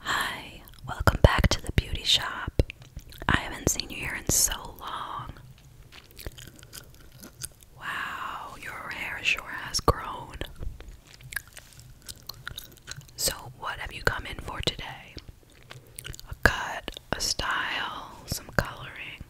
Hi, welcome back to the beauty shop. I haven't seen you here in so long. Wow, your hair sure has grown. So, what have you come in for today? A cut, a style, some coloring.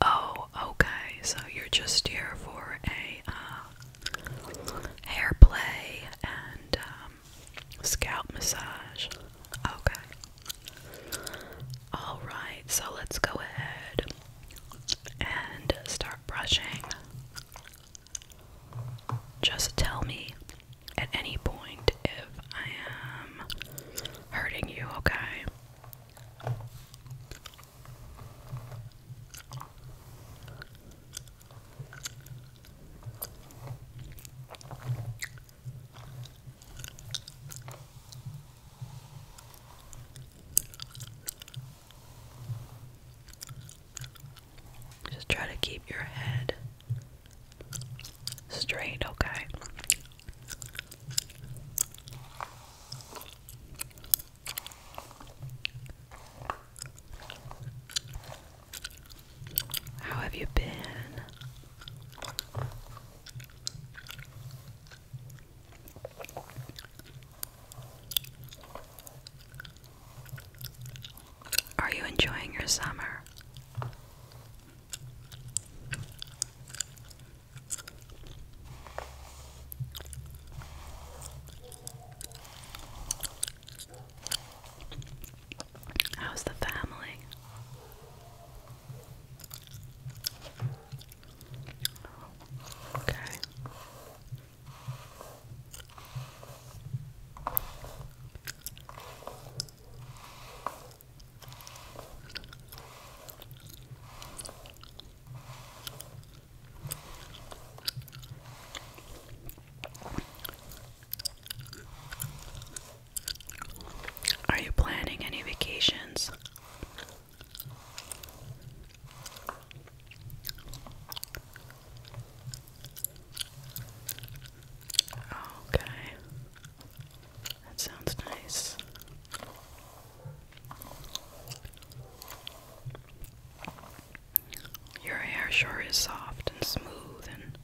Oh, okay, so you're just here for a uh, hair play and um, scalp massage. Okay. Alright, so let's go ahead and start brushing. Just tell me at any point if I am hurting you, okay? Just try to keep your head straight, okay? How have you been? Are you enjoying your summer? How's the family? Okay. Are you planning any vacations? Okay. That sounds nice. Your hair sure is soft and smooth and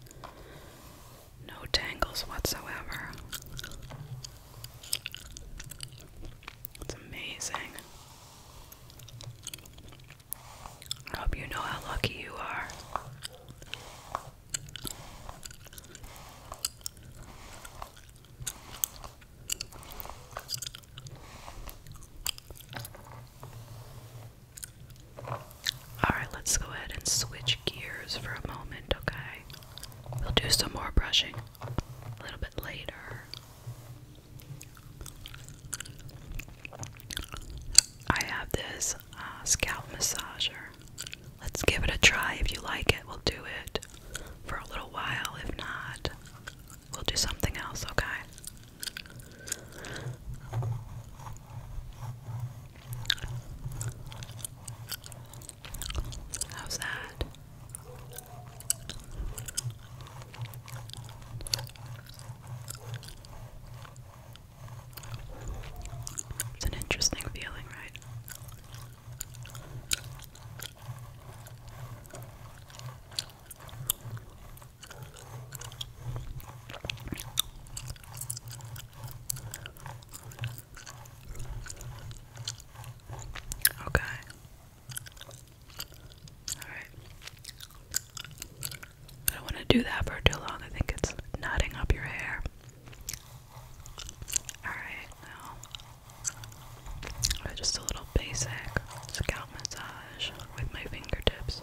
no tangles whatsoever. It's amazing. I hope you know how lucky you are. Alright, let's go ahead and switch gears for a moment, okay? We'll do some more brushing a little bit later. I have this uh, scalp massager. Let's give it a try. If you like it, we'll do it for a little while. If not, We'll do something else, okay? How's that? It's an interesting feeling, right? Okay. All right. I don't want to do that for too long. I think it's knotting up your hair. All right just a little basic scalp massage with my fingertips.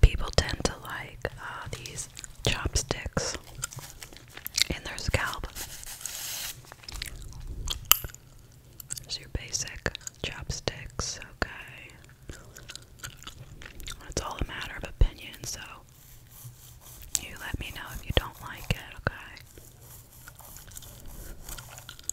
people tend to like uh, these chopsticks in their scalp. There's your basic chopsticks, okay? It's all a matter of opinion, so you let me know if you don't like it, okay?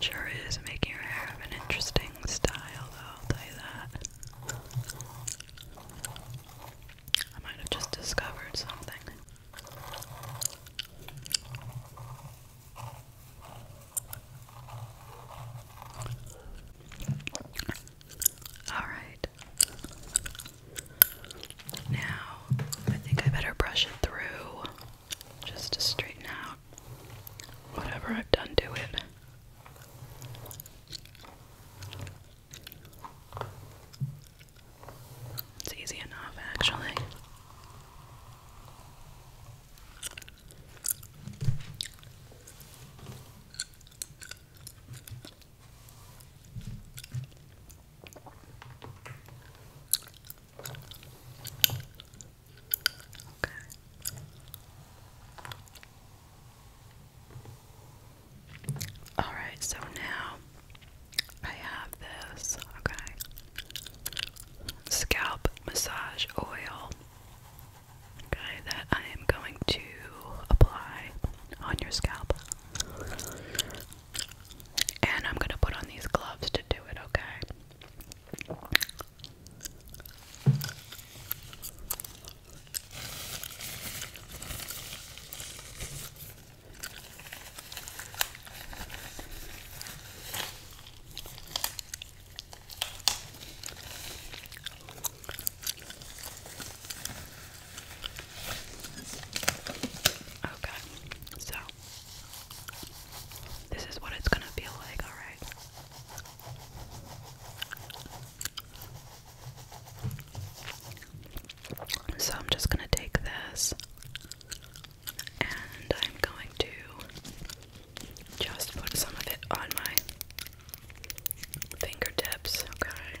Sure is making your hair have an interesting style though, I'll tell you that. I might have just discovered something. Alright. Now, I think I better brush it through just to straighten out whatever I've done to it. It's easy enough, actually. All right, so now I have this, scalp massage oil, that I am going to apply on your scalp. And I'm gonna put on these gloves to do it, okay? Okay, so this is what it's gonna feel like, alright? So I'm just gonna take this and I'm going to just put some of it on my fingertips, okay?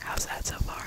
How's that so far?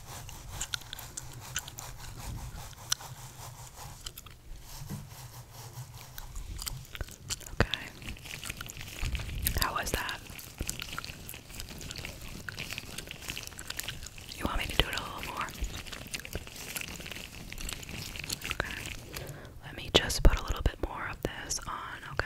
Okay. How was that? You want me to do it a little more? Okay. Let me just put a little bit more of this on, okay?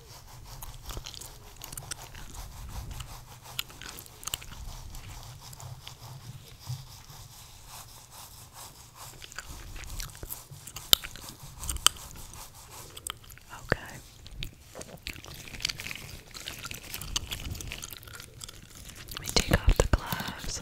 Okay. Let me take off the gloves.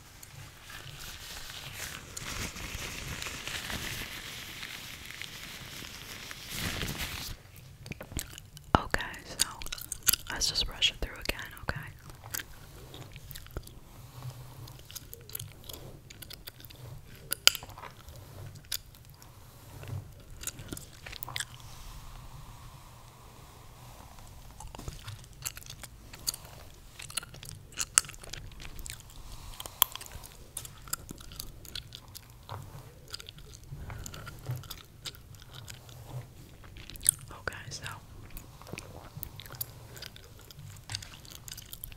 Okay, so let's just brush it through again, okay? Okay, so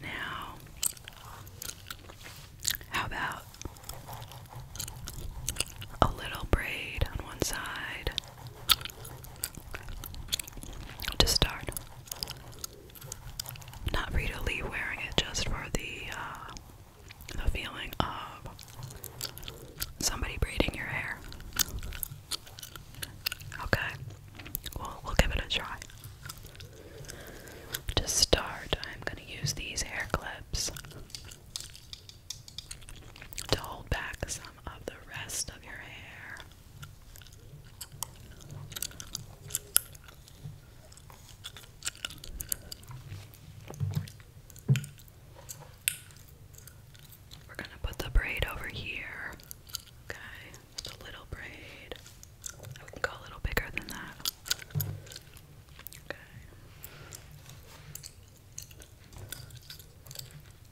now, how about a little braid on one side to start. Not Rita Lee wearing it just for the uh, the feeling of somebody braiding your hair. Okay, well we'll give it a try. To start, I'm gonna use these hair clips to hold back some of the rest of your hair. We're going to put the braid over here. Okay, just a little braid. I can go a little bigger than that. Okay.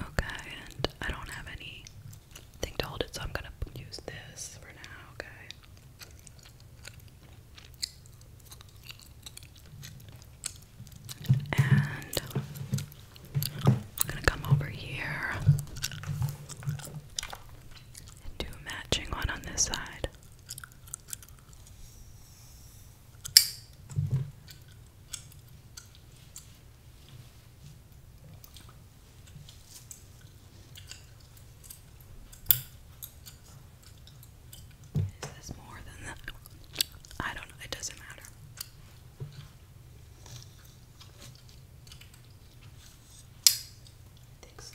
Okay, and I don't have anything to hold it, so I'm gonna use this for now, okay? And I'm gonna come over here and do a matching one on this side. Is this more than that? I don't know, it doesn't matter. I think so.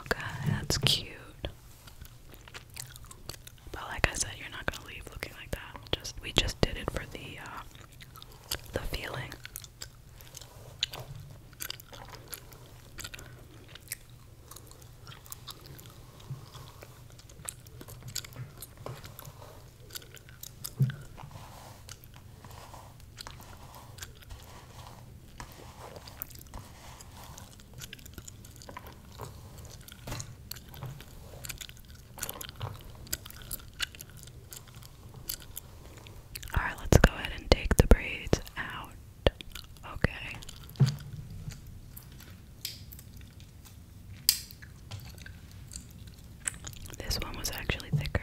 Okay, that's cute. But like I said, you're not gonna leave looking like that. Just we just did it for the uh, the feeling. Alright, let's go ahead and take the braids out. Okay. This one was actually thicker.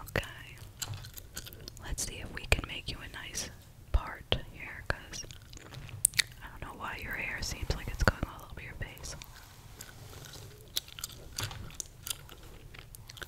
Okay. Let's see if we can make you a nice part here, because I don't know why your hair seems like it's going all over your face.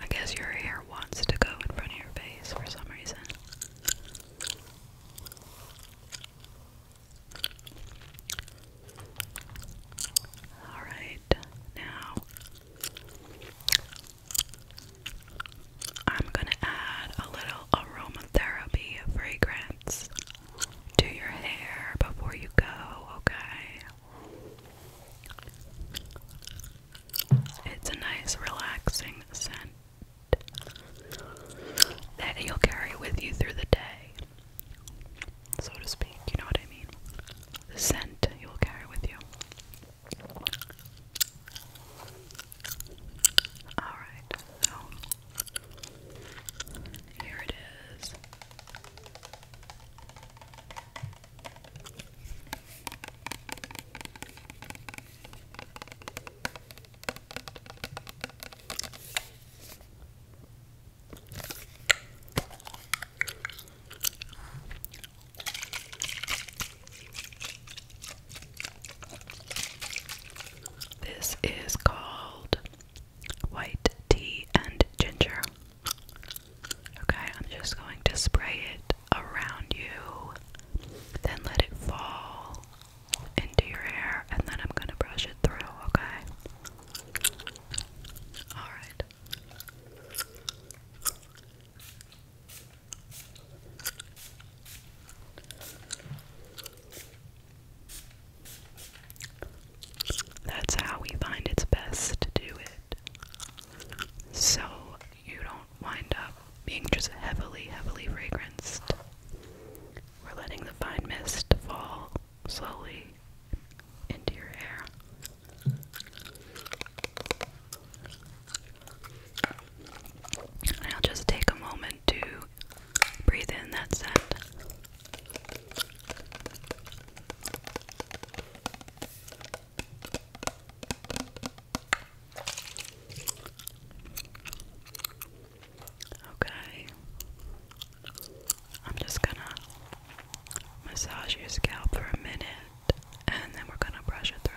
I guess your hair wants to go in front of your face for some reason. Alright, now I'm going to add a little aromatherapy fragrance do your hair before you go, okay? It's a nice, relaxing scent that you'll carry with you through the day, so to speak. You know what I mean? The scent you will carry with you. Alright, here it is. This is called white tea and ginger. Okay, I'm just going to spray it around you, then let it fall into your hair, and then I'm going to brush it through, okay? Alright. That's how we find it's best to do it. So you don't wind up being just heavily, heavily fragranced. We're letting the fine mist fall slowly into your hair. And I'll just take a moment to breathe in that scent. Okay. I'm just gonna massage your scalp for a minute and then we're gonna brush it through.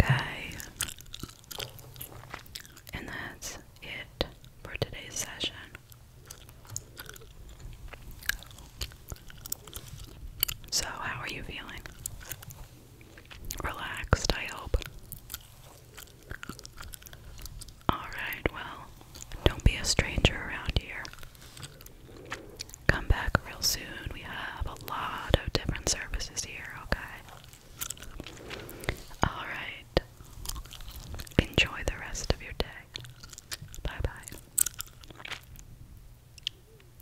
Okay, and that's it for today's session. So, how are you feeling? relaxed, I hope. Alright, well, don't be a stranger around here. Come back real soon. We have a lot of different services here, okay? Alright. Enjoy the rest of your day. Bye bye.